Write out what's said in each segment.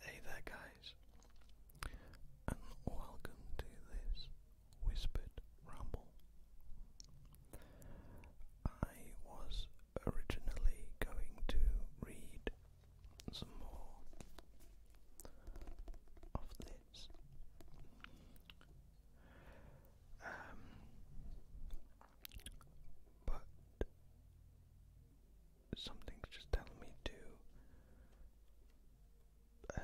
Hey there, guys, and welcome to this Whispered Ramble. I was originally going to read some more of this. Um, but something's just telling me to uh,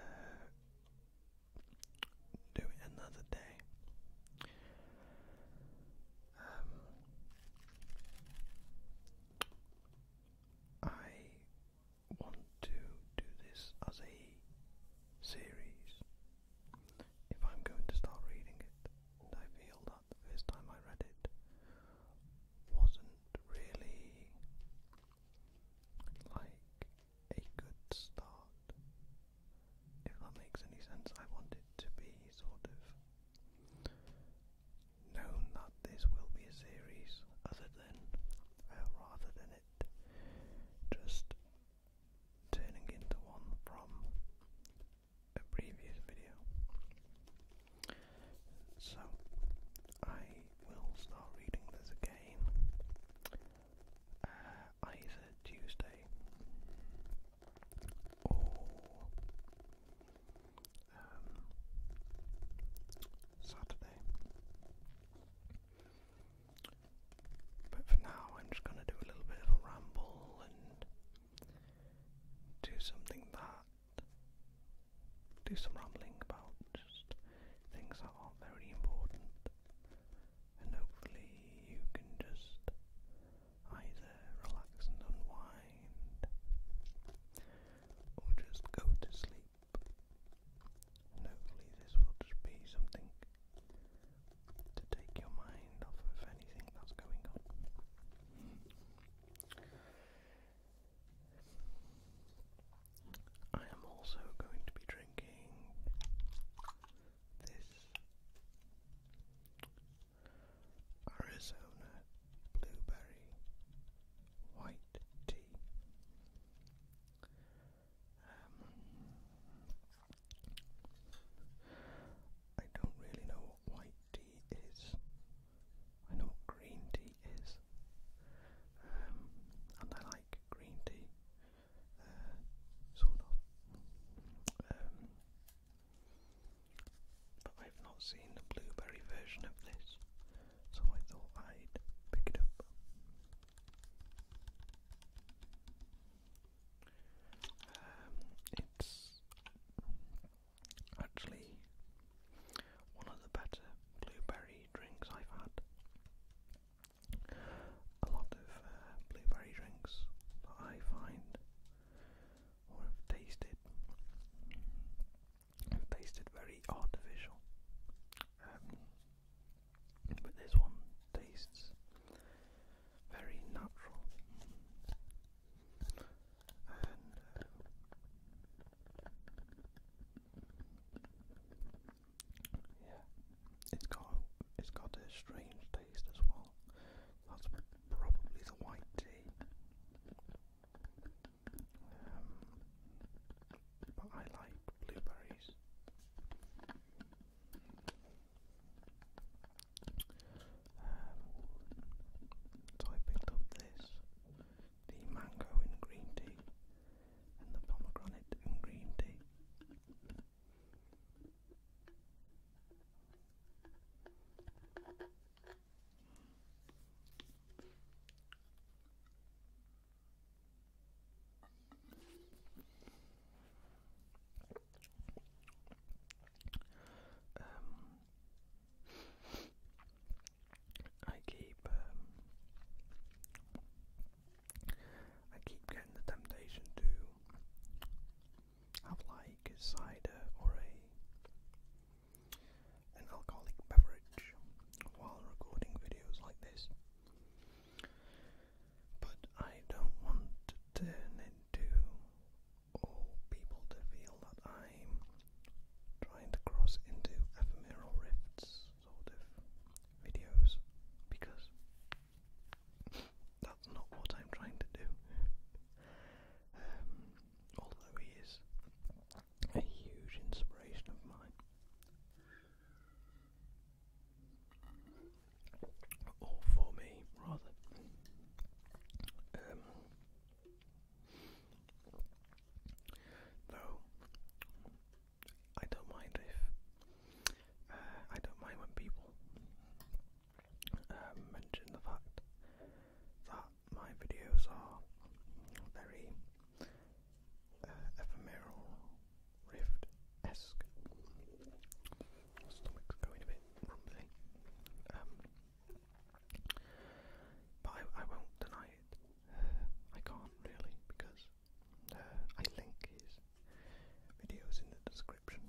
do it another day. Um, I want to do this as a series if I'm going to start reading it and I feel that the first time I read it wasn't really like a good start, if that makes any sense. I want it to be sort of known that this will be a series, other than uh, rather than it just turning into one from a previous video. So I will start reading this again. Uh, either Tuesday or um, Saturday. But for now, I'm just going to do a little bit of a ramble and do something that, do some rambling about just things that are very important, and hopefully you can just either relax and unwind, or just go to sleep. hopefully, this will just be something to take your mind off of anything that's going on. I am also going to be drinking this Arizona blueberry white tea. Um, I don't really know white tea is. I know what green tea is. Um, and I like green tea. Uh, sort of. Um, but I've not seen the blueberry version of this, so I thought I'd pick it up. Um, it's actually one of the better blueberry drinks I've had. A lot of uh, blueberry drinks that I find or have tasted have tasted very artificial. Um, but this one tastes very natural. Uh, it's got it's got a strange taste as well. That's probably the white tea. Um, but I like blueberries. Um, so I picked up this, the mango and green tea, and the pomegranate and green tea. Um, I keep um, I keep getting the temptation to have like a cider or a an alcoholic beverage while recording videos like this. But I don't want to turn into all people to feel that I'm trying to cross into ephemeral rifts sort of videos because that's not what I'm trying to do. Um, although he is a huge inspiration of mine or for me rather. Um, though I don't mind if uh, I don't mind when people um, mention the fact that my videos are very uh, ephemeral, rift esque stomach's going a bit rumbly. Um, but I, won't deny it. I can't really because uh, I link his videos in the description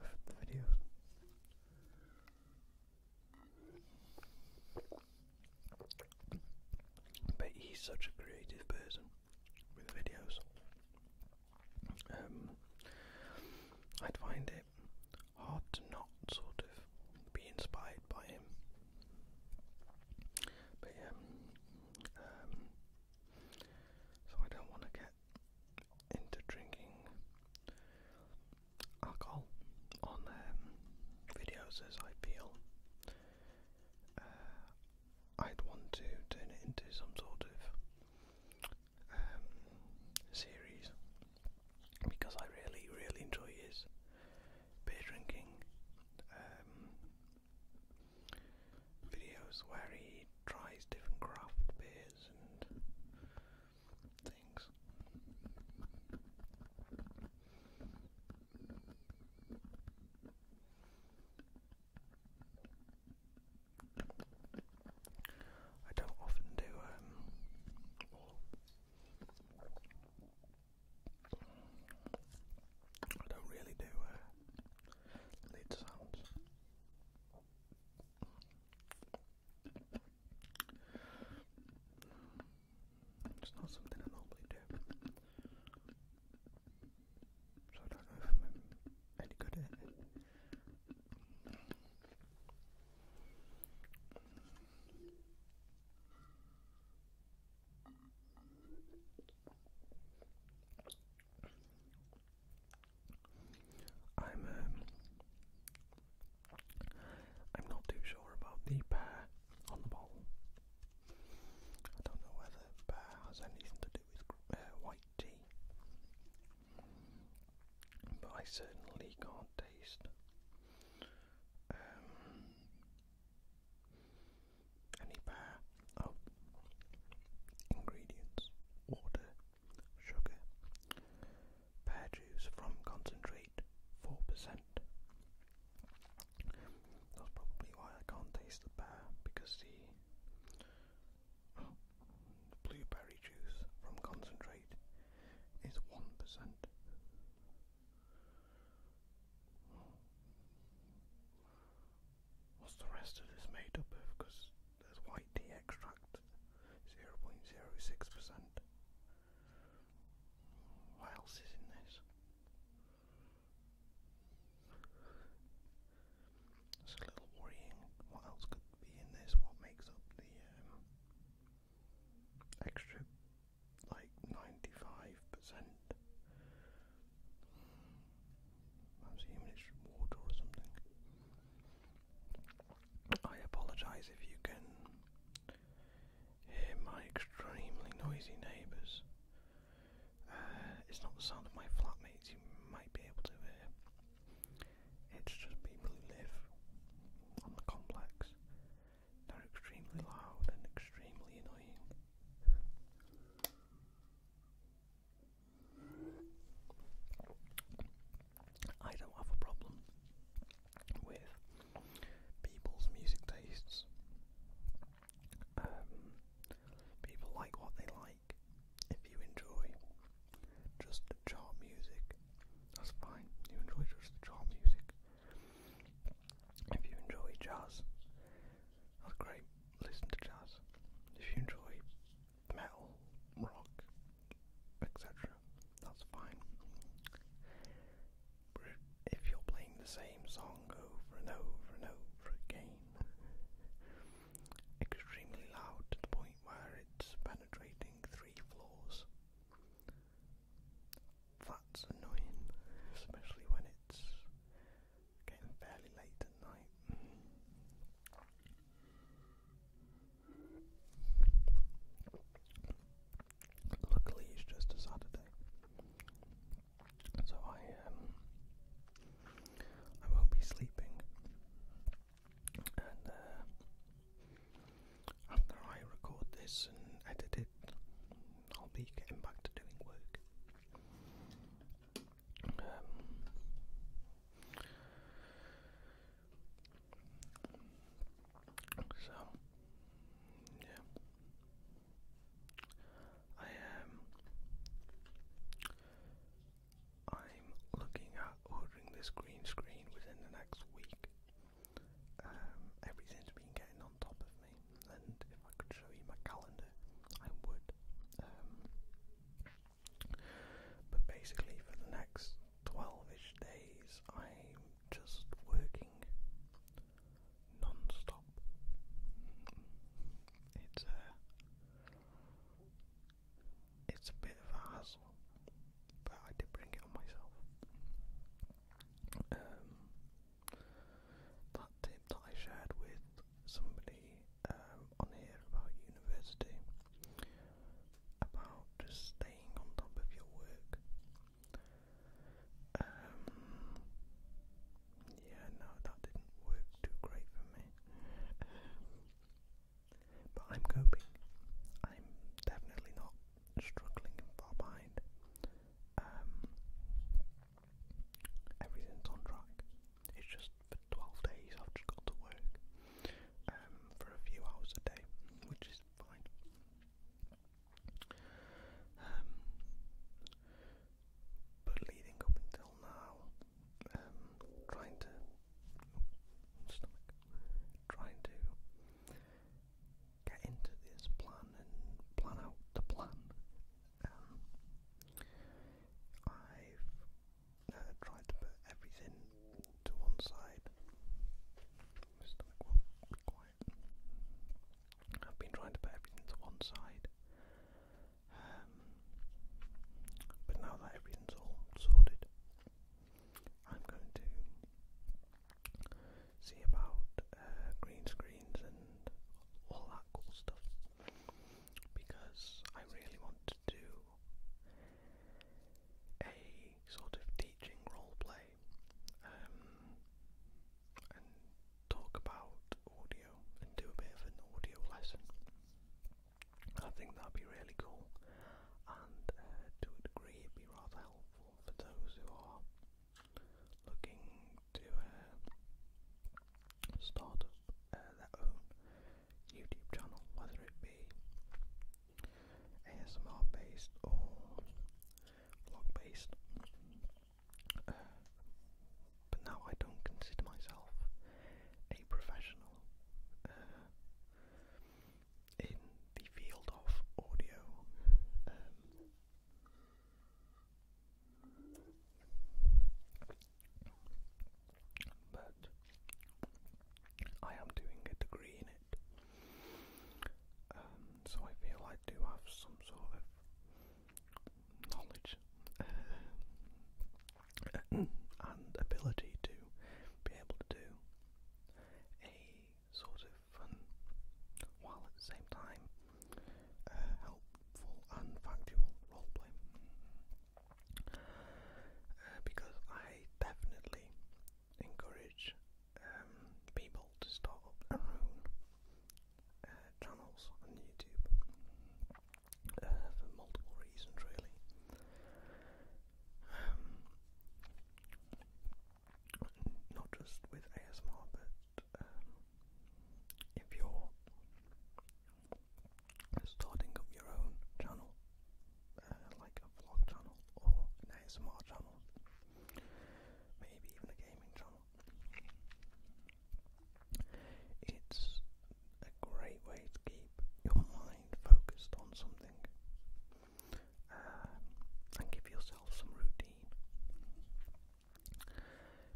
of the videos. But he's such a creative person with videos. Um, I'd find it hard to not sort of be inspired by him. But yeah, um, so I don't want to get into drinking alcohol on um, videos as I feel. Uh, I'd want to turn it into some sort of um, series because I really, really enjoy his beer drinking um, videos where he tries different craft beers and things. I don't often do um, I don't really do uh, sounds. It's not something I normally do. So I don't know if I'm any good at it. I'm uh, I'm not too sure about the pear on the bottle. I don't know whether pear has anything to do with uh, white tea but I certainly can't taste. Um, any pair of oh, ingredients, water, sugar, pear juice from concentrate, 4%. That's probably why I can't taste the pear, because the Blueberry juice from concentrate is 1%. What's the rest of this made up of? Because there's white tea extract, 0.06%. What else is in this? It's a little worrying. What else could be in this? What makes up the um, extra like 95%? I'm assuming it's water or something. I apologise if you can hear my extremely noisy neighbours. Uh, it's not the sound of my flatmates you might be able to hear. It's just people who live on the complex. They're extremely loud and extremely annoying. I don't have a problem with people's music tastes. Um, people like what they like. If you enjoy just the chart music, that's fine. You enjoy just the music. If you enjoy jazz, that's great. Listen to jazz. If you enjoy metal, rock, etc., that's fine. But if you're playing the same song over and over and over again, extremely loud to the point where it's penetrating three floors. That's annoying, especially when it's getting fairly late at night. Luckily, it's just a Saturday, so I um I won't be sleeping and uh, after I record this and edit it, I'll be getting back to doing work. Um, so, yeah, I um, I'm looking at ordering this green screen within the next week. Um, everything's been getting on top of me, and if I could show you my calendar, I would. Um, but basically, for the next 12 days, I'm just working non It's, uh, it's a bit of a hassle, but I did bring it on myself. Um, that tip that I shared with somebody um, on here about university, about just staying on top of your work. Um, yeah, no, that didn't work too great for me. I'm coping. I'm definitely not struggling and far behind. Um, everything's on track. It's just for 12 days I've just got to work um, for a few hours a day, which is fine. Um, but leading up until now, um, trying to trying to get into this plan and plan out the plan. Um, I've uh, tried to put everything to one side. I've been trying to put everything to one side um, but now that everything's all sorted, I'm going to see about uh, green screens and all that cool stuff because I really want to do a sort of teaching role play um, and talk about audio and do a bit of an audio lesson. I think that'd be really cool, and uh, to a degree, it'd be rather helpful for those who are looking to uh, start up uh, their own YouTube channel, whether it be ASMR based or vlog based. but now I don't consider myself a professional uh, in the field of audio. Um, but I am doing a degree in it, um, so I feel I do have some sort of knowledge and ability to be able to do a sort of fun, while at the same time uh, helpful and factual roleplay. Uh, because I definitely encourage um, people to start up their own uh, channels on YouTube. Uh, for multiple reasons, really. Um, not just with ASMR, but um, if you're starting up your own channel, uh, like a vlog channel or ASMR channel, maybe even a gaming channel, it's a great way to keep your mind focused on something uh, and give yourself some routine.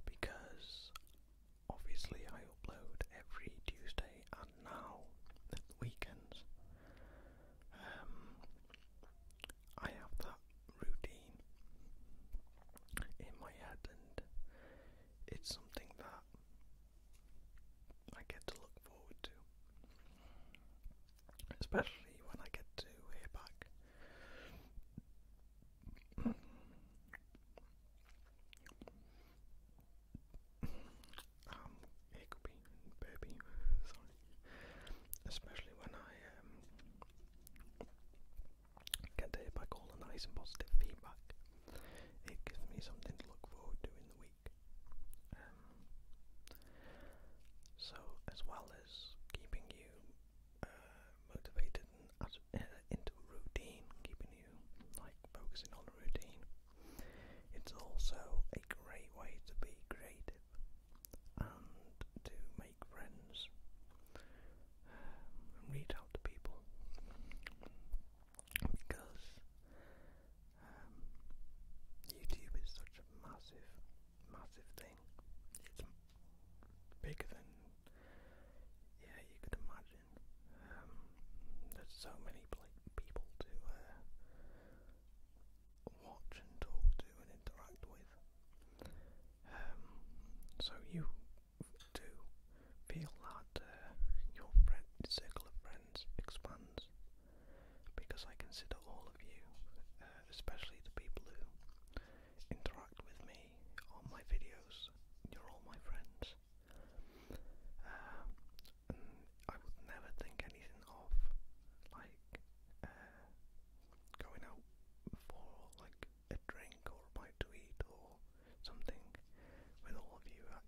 Because obviously, I upload every Tuesday and now at the weekends. Um, I have that routine in my head, and it's something that I get to look forward to. Especially when I get to hear back um, Hickory and Burby, sorry. Especially when I um, get to hear back all the nice and positive feedback it gives me something to look forward to in the week. Um, so, as well as keeping you uh, motivated and uh, into a routine, keeping you like focusing on a routine, it's also a great way to be creative and to make friends um, and reach out to people because um, YouTube is such a massive, massive thing. It's bigger than yeah you could imagine. Um, there's so many people to uh, watch and talk to and interact with. Um, so you to feel that uh, your friend, circle of friends expands because I consider all of you, uh, especially the people who interact with me on my videos, you're all my friends. Um, I would never think anything of like uh, going out for like a drink or a bite to eat or something with all of you. Uh,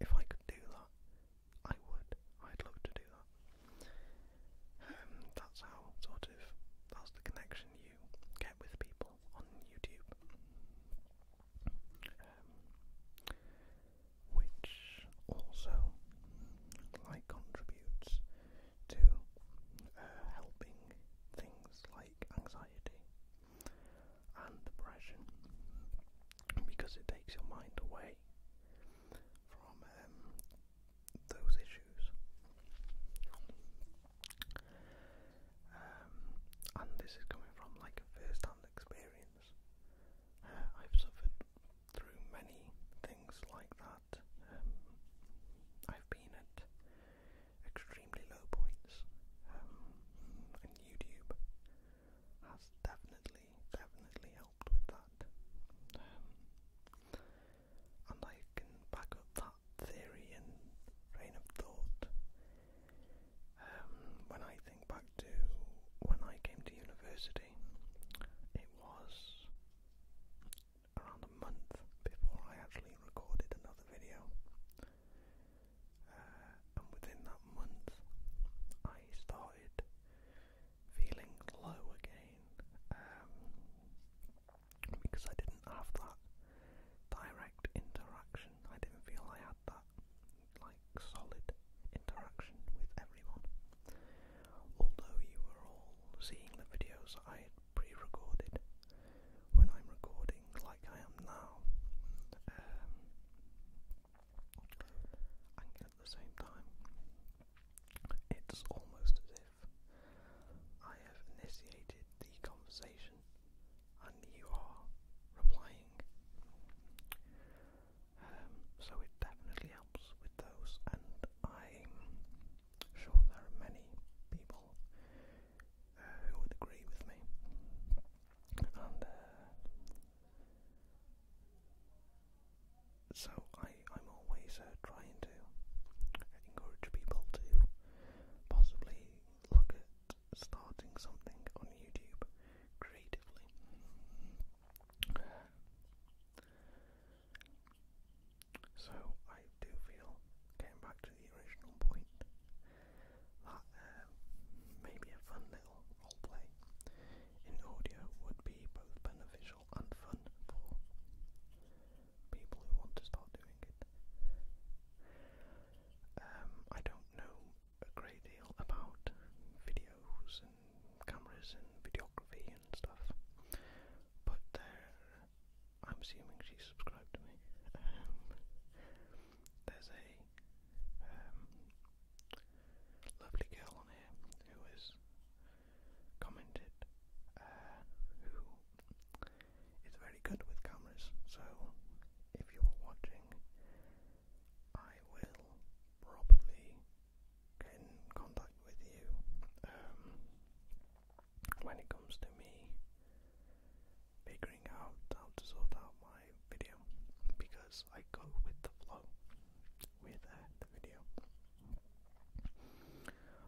if I could do that, I would. I'd love to do that. Um, that's how sort of that's the connection you get with people on YouTube, um, which also like contributes to uh, helping things like anxiety and depression because it takes your mind away from um, those issues. Um, and this is coming from like a first hand experience. Uh, I've suffered through many things like that. Um, I've been at extremely low points. Um, and YouTube has definitely, definitely helped with that. Um, and I can back up that theory and train of thought um, when I think back to when I came to university. It was around a month before I actually recorded another video. Uh, and within that month, I started feeling low again um, because I didn't have that direct interaction. I didn't feel I had that like solid interaction with everyone. Although you were all seeing the videos I had pre-recorded, when I'm recording, like I am now, um, and at the same time, it's almost as if I have initiated the conversation and you are replying. Um, so it definitely helps with those, and I'm sure there are many people uh, who would agree with me and uh, so I, I'm always uh, trying to encourage people to possibly look at starting something on YouTube creatively. so I do feel, getting back to the original point, that um, maybe a fun little roleplay in audio would be both beneficial and fun for people who want to start doing it. Um, I don't know a great deal about videos and cameras and videography and stuff, but I'm assuming she's subscribed to me. Um, there's a um, lovely girl on here who has commented uh, who is very good with cameras. So if you are watching, I will probably get in contact with you um, when it comes to me figuring out how to sort out my video because I go with the flow with the video.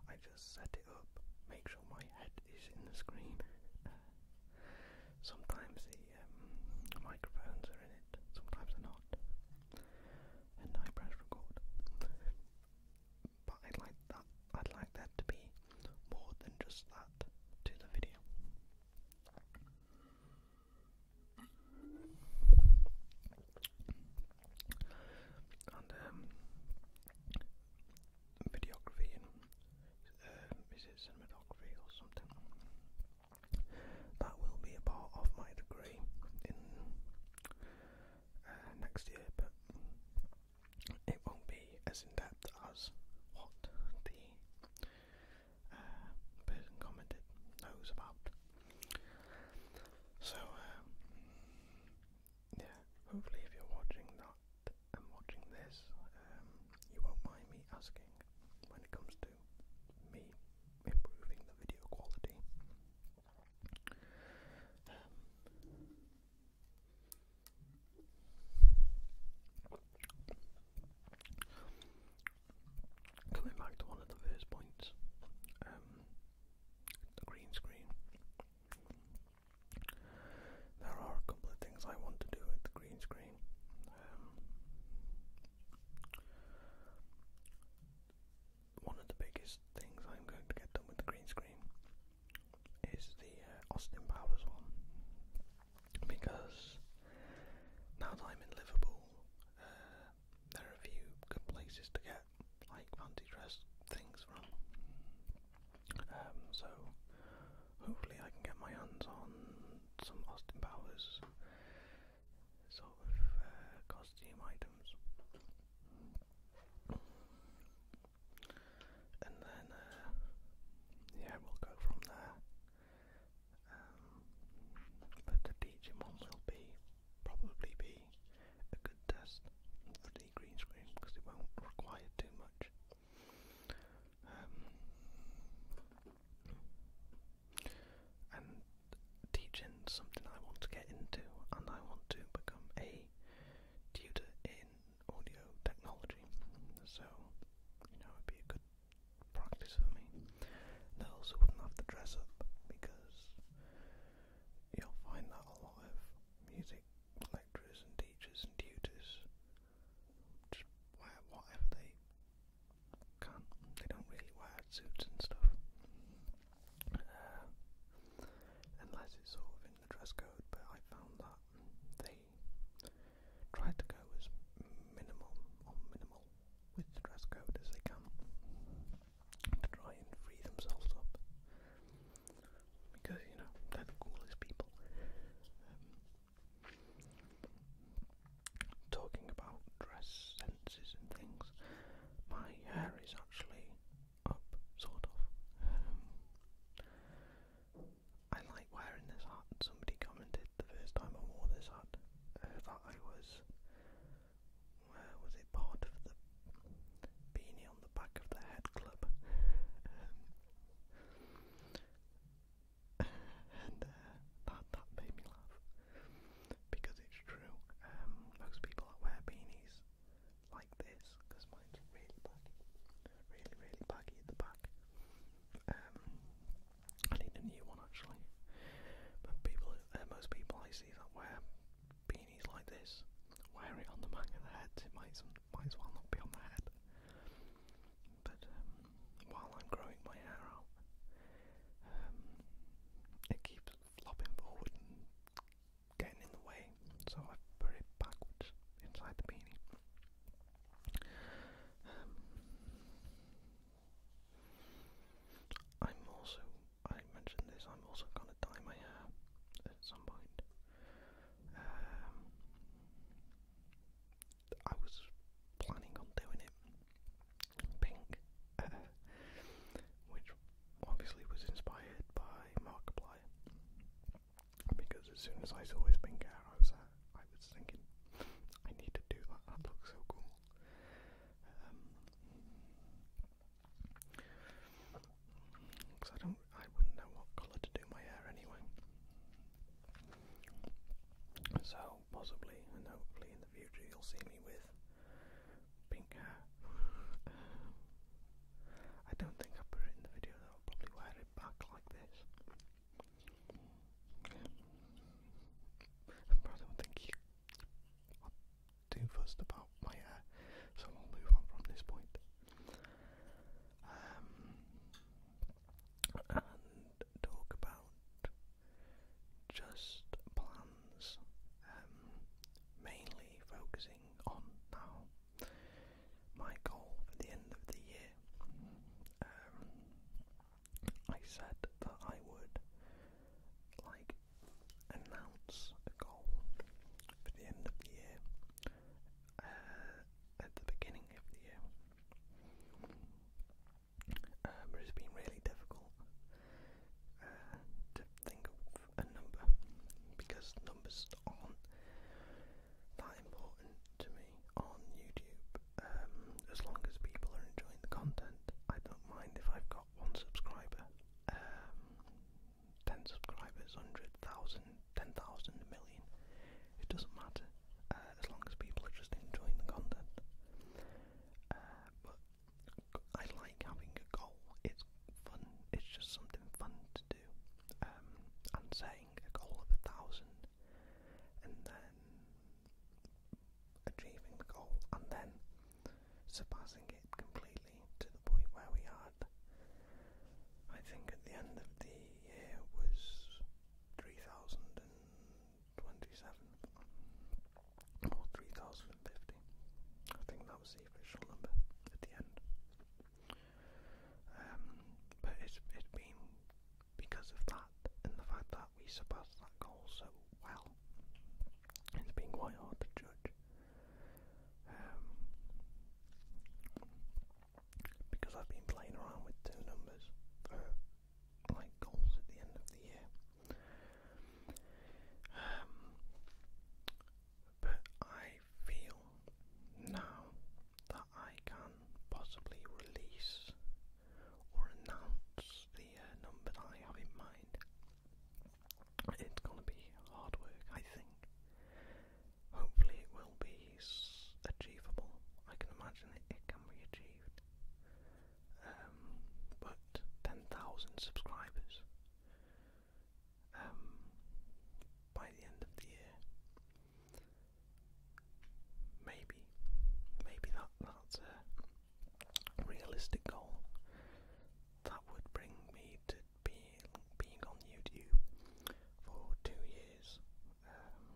I just set it up, make sure my head is in the screen. sometimes the um, microphones are in it, sometimes they're not. And I press record. But i like that. I'd like that to be more than just that to the video. And um, videography um, is it cinematography or something? That will be a part of my degree in uh, next year, it won't be as in depth as what the uh, person commented knows about. So, uh, yeah, hopefully, if you're watching that and watching this, um, you won't mind me asking when it comes to me improving the video quality. Um, Coming back to one of the first points, um, the green screen. There are a couple of things I want to do with the green screen. Um, one of the biggest things I'm going to get done with the green screen is the uh, Austin Powers one because now that I'm in Liverpool, uh, there are a few good places to get like fancy dress things from. Um, so hopefully I can get my hands on some Austin Powers sort of uh, costume items and then uh, yeah, we'll go from there. Um, but the Digimon will be probably be a good test for the green screen because it won't require too much. Um, and teaching something I want to get into, and I want to become a tutor in audio technology, so you know it'd be a good practice for me. I also wouldn't have to dress up because you'll find that a lot of music lecturers and teachers and tutors wear whatever they can. They don't really wear suits and stuff. Uh, unless it's sort of in the dress code, but I found that they try to go as minimum or minimal with dress code as they can to try and free themselves up because you know they're the coolest people. Um, talking about dress senses and things, my hair is actually up, sort of. Um, I like wearing this hat. Somebody commented the first time I wore this hat uh, that I was, where was it, part of the beanie on the back of the head club. Um, and uh, that, that made me laugh because it's true. Um, most people that wear beanies like this, because mine's really baggy. Really, really baggy at the back. Um, I need a new one actually. But people, uh, most people I see that wear beanies like this wear it on the back of their heads. It might, might as well not be on their head. But um, while I'm growing my hair out, um, it keeps flopping forward and getting in the way, so I put it backwards inside the beanie. Um, I'm also, I mentioned this, I'm also going to dye my hair at some point. Um, I was planning on doing it pink, which obviously was inspired by Markiplier because as soon as I saw his pink hair, I was uh, I was thinking, I need to do that. That looks so cool. because um, I don't, I wouldn't know what colour to do my hair anyway. So possibly and hopefully in the future you'll see me with pink hair. I don't think I put it in the video though, I'll probably wear it back like this. I probably don't think you are too about my hair, so I'll move on from this um, and talk about just plans, um, mainly focusing on now my goal for the end of the year. Um, I said that I would like announce a goal for the end of the year uh, at the beginning of the year. Um, but it's been really difficult uh, to think of a number because numbers aren't that important to me on YouTube. Um, as long as people are enjoying the content, I don't mind if I've got one subscriber, um, ten subscribers, hundred thousand, ten thousand, It doesn't matter uh, as long as people are just enjoying the content. Uh, but I like having a goal. It's fun. It's just something fun to do, um, and a goal of a thousand, and then achieving the goal, and then surpassing it completely to the point where we had, I think, at the end of the year was three thousand and twenty-seven or three thousand and fifty. I think that was the official number at the end. Um, but it's it's been because of that and the fact that we surpassed that goal so well. It's been quite hard to judge. Um, because I've been playing around with two numbers for like goals at the end of the year. Um, but I feel now that I can possibly release or announce the uh, number that I have in mind. It's going to be hard work, I think. Hopefully, it will be achievable. I can imagine it, can be achieved. Um, but 10,000 subscribers um, by the end of the year. Maybe, maybe that that's a realistic goal. That would bring me to be being on YouTube for two years. Um,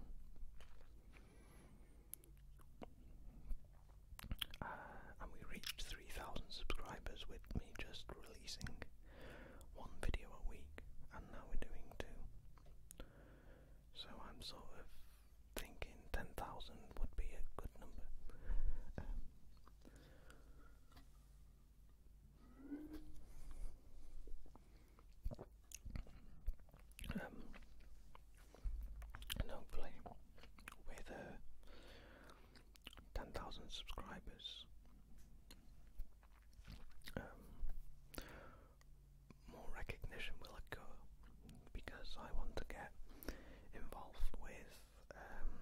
uh, and we reached 3,000 subscribers with me just releasing one video a week, and now we're doing two. So I'm sort of thinking 10,000 would be a good number. Um, and hopefully, with uh, 10,000 subscribers, um, more recognition will occur because I want to get involved with um,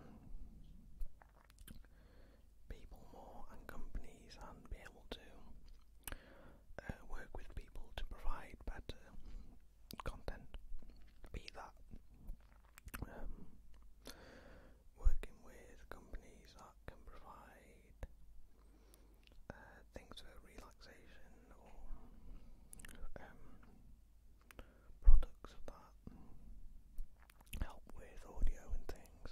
people more and companies and be able to uh, work with people to provide better content, be that. Um, working with companies can provide uh, things for relaxation or um, products that help with audio and things.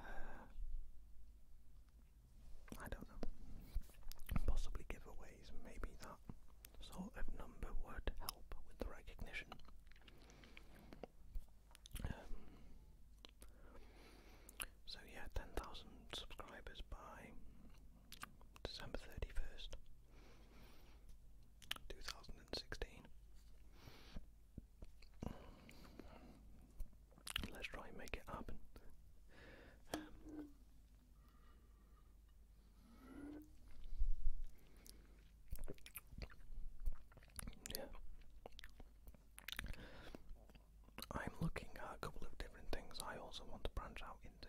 Uh, I don't know. Possibly giveaways, maybe that sort of number would help with the recognition so yeah, 10,000 subscribers by December 31st, 2016. Let's try and make it happen. Yeah. I'm looking at a couple of different things I also want to branch out into.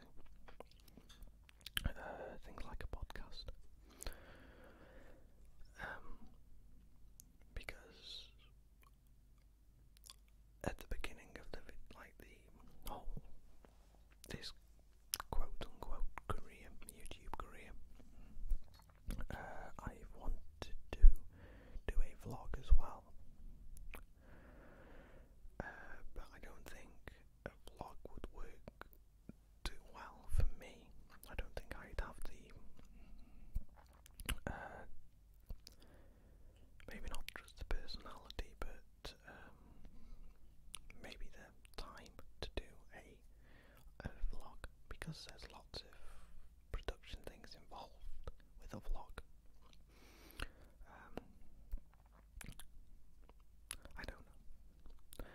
Uh, things like a podcast. Um, because at the beginning of the like the whole this quote unquote career, YouTube career, uh, I wanted to do a vlog as well, uh, but I don't think a vlog would work too well for me. I don't think I'd have the, uh, maybe not just the personality, but um, maybe the time to do a a vlog because there's lots of production things involved with a vlog. Um, I don't know.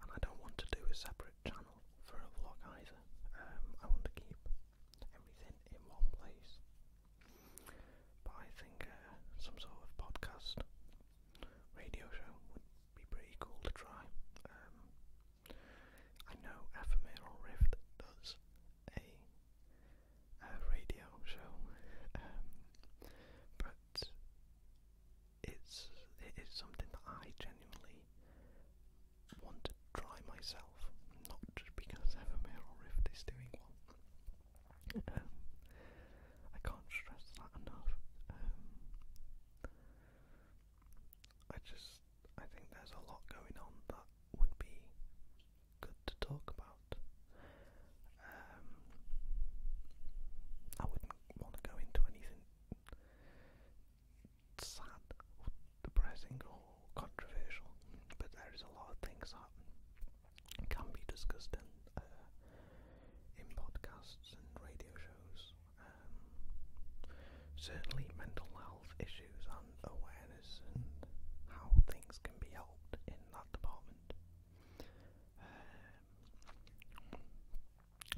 And I don't want to do a separate channel for a vlog either. Um, I want to keep everything in one place. But I think uh, some sort of podcast radio show would be pretty cool to try. Um, I know Ephemeral Rift does a, radio show, um, but it's it is something that I genuinely want to try myself, not just because Ephemeral Rift is doing one. Um, I can't stress that enough. Um, I just I think there's a lot going on that would be good to talk about. Um, I wouldn't want to go into anything sad or depressing or controversial, but there is a lot of things that can be discussed in, uh, in podcasts and radio shows um, certainly, mental health issues and awareness and how things can be helped in that department, um,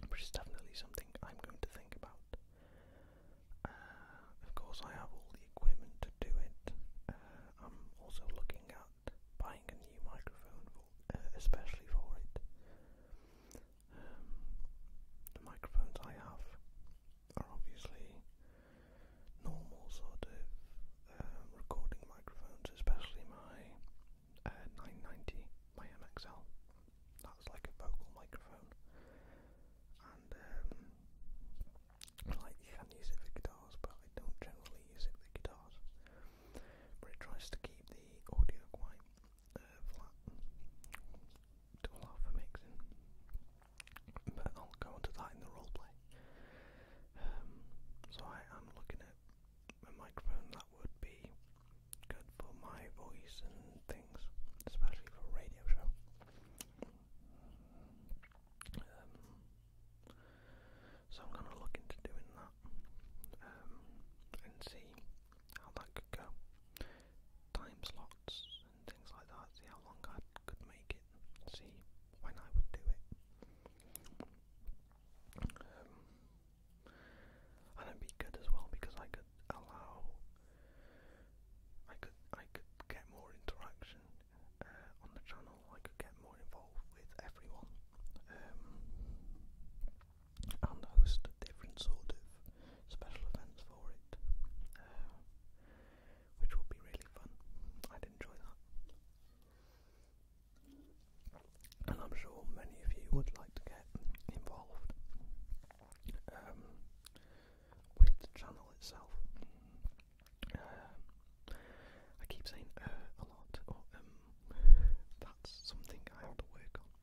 which is definitely something I'm going to think about. Uh, of course, I have all the equipment to do it. Uh, I'm also looking at buying a new microphone, uh, especially for it. Um, the microphones I have are obviously normal sort of um, recording microphones, especially my uh, 990, my MXL. That's like a vocal microphone, and um, like you can use it for guitars, but I don't generally use it for guitars. But it tries to keep the audio quite uh, flat to allow for mixing. But I'll go on to that in the roleplay. Um, so I am looking at a microphone that would be good for my voice and things, especially for a radio show. Um, so I'm going to look into doing that um, and see how that could go. Time and things like that, see how long I could make it, see when I would do it. Um, and it'd be good as well because I could allow, I could, I could get more interaction uh, on the channel. I could get more involved with everyone. Um, and host a different sort of special events for it, uh, which will be really fun. I'd enjoy that, and I'm sure many of you would like to get involved um, with the channel itself. Uh, I keep saying uh, a lot, or um, that's something I have to work on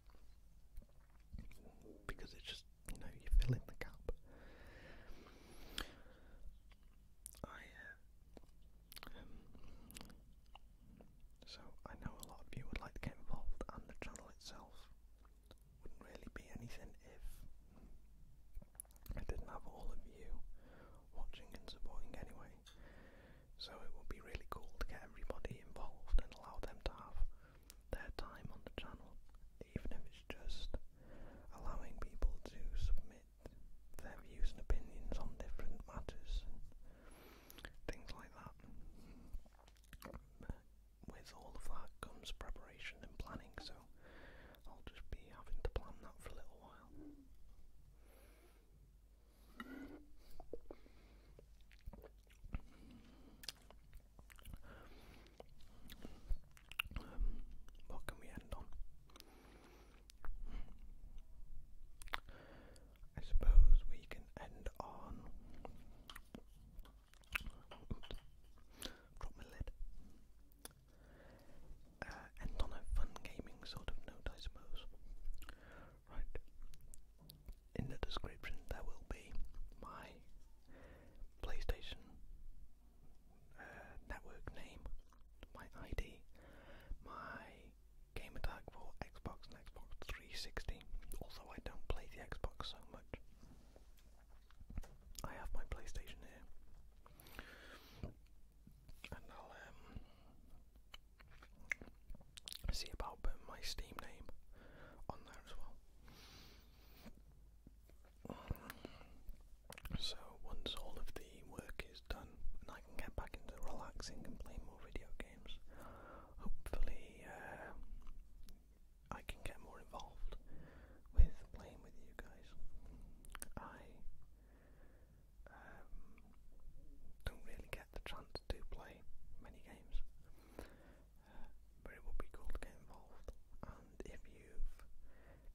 because it's just you know you fill in the gap. Uh, um, so I know a lot of you would like to get involved, and the channel itself wouldn't really be anything if I didn't have all of you watching and supporting anyway. So it would be really cool to get everybody involved and allow them to have their time on the channel, even if it's just allowing people to submit their views and opinions on different matters and things like that. With all of that comes preparation and planning, so I'll just be having to plan that for a little while. Um, what can we end on? I suppose we can end on. Drop my lid. Uh, end on a fun gaming sort of note, I suppose. Right. In the description there will be my PlayStation uh, network name, my ID, my game attack for Xbox Xbox 360. Also I don't play the Xbox so much. I have my PlayStation here. And I'll um See about putting my Steam name on there as well. So once all of the work is done and I can get back into relaxing and playing more video games, hopefully uh, I can get more involved with playing with you guys. I um, don't really get the chance chance to play many games. Uh, but it would be cool to get involved. And if you've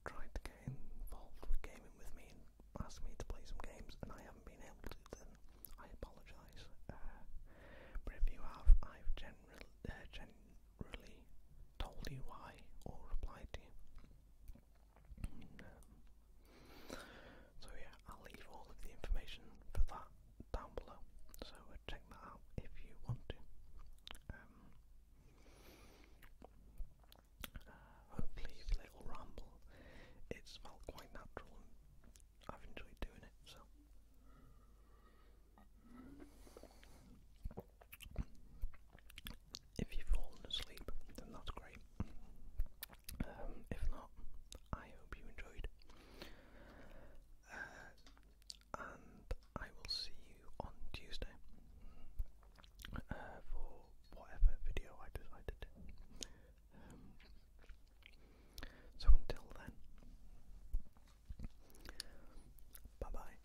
tried to get involved with gaming with me and asked me to play some games and I haven't been able to, then I apologise. Uh, but if you have, I've generally, uh, generally told you why or replied to you. Mm, um, so yeah, I'll leave all of the information for that down below. So uh, check that out if you want to. Um, uh, hopefully, if little ramble, it's felt quite natural I've enjoyed doing it. So. If you've fallen asleep, then that's great. Um, if not, I hope you enjoyed. Uh, and I will see you on Tuesday uh, for whatever video I decide to um, do. so until then, bye bye.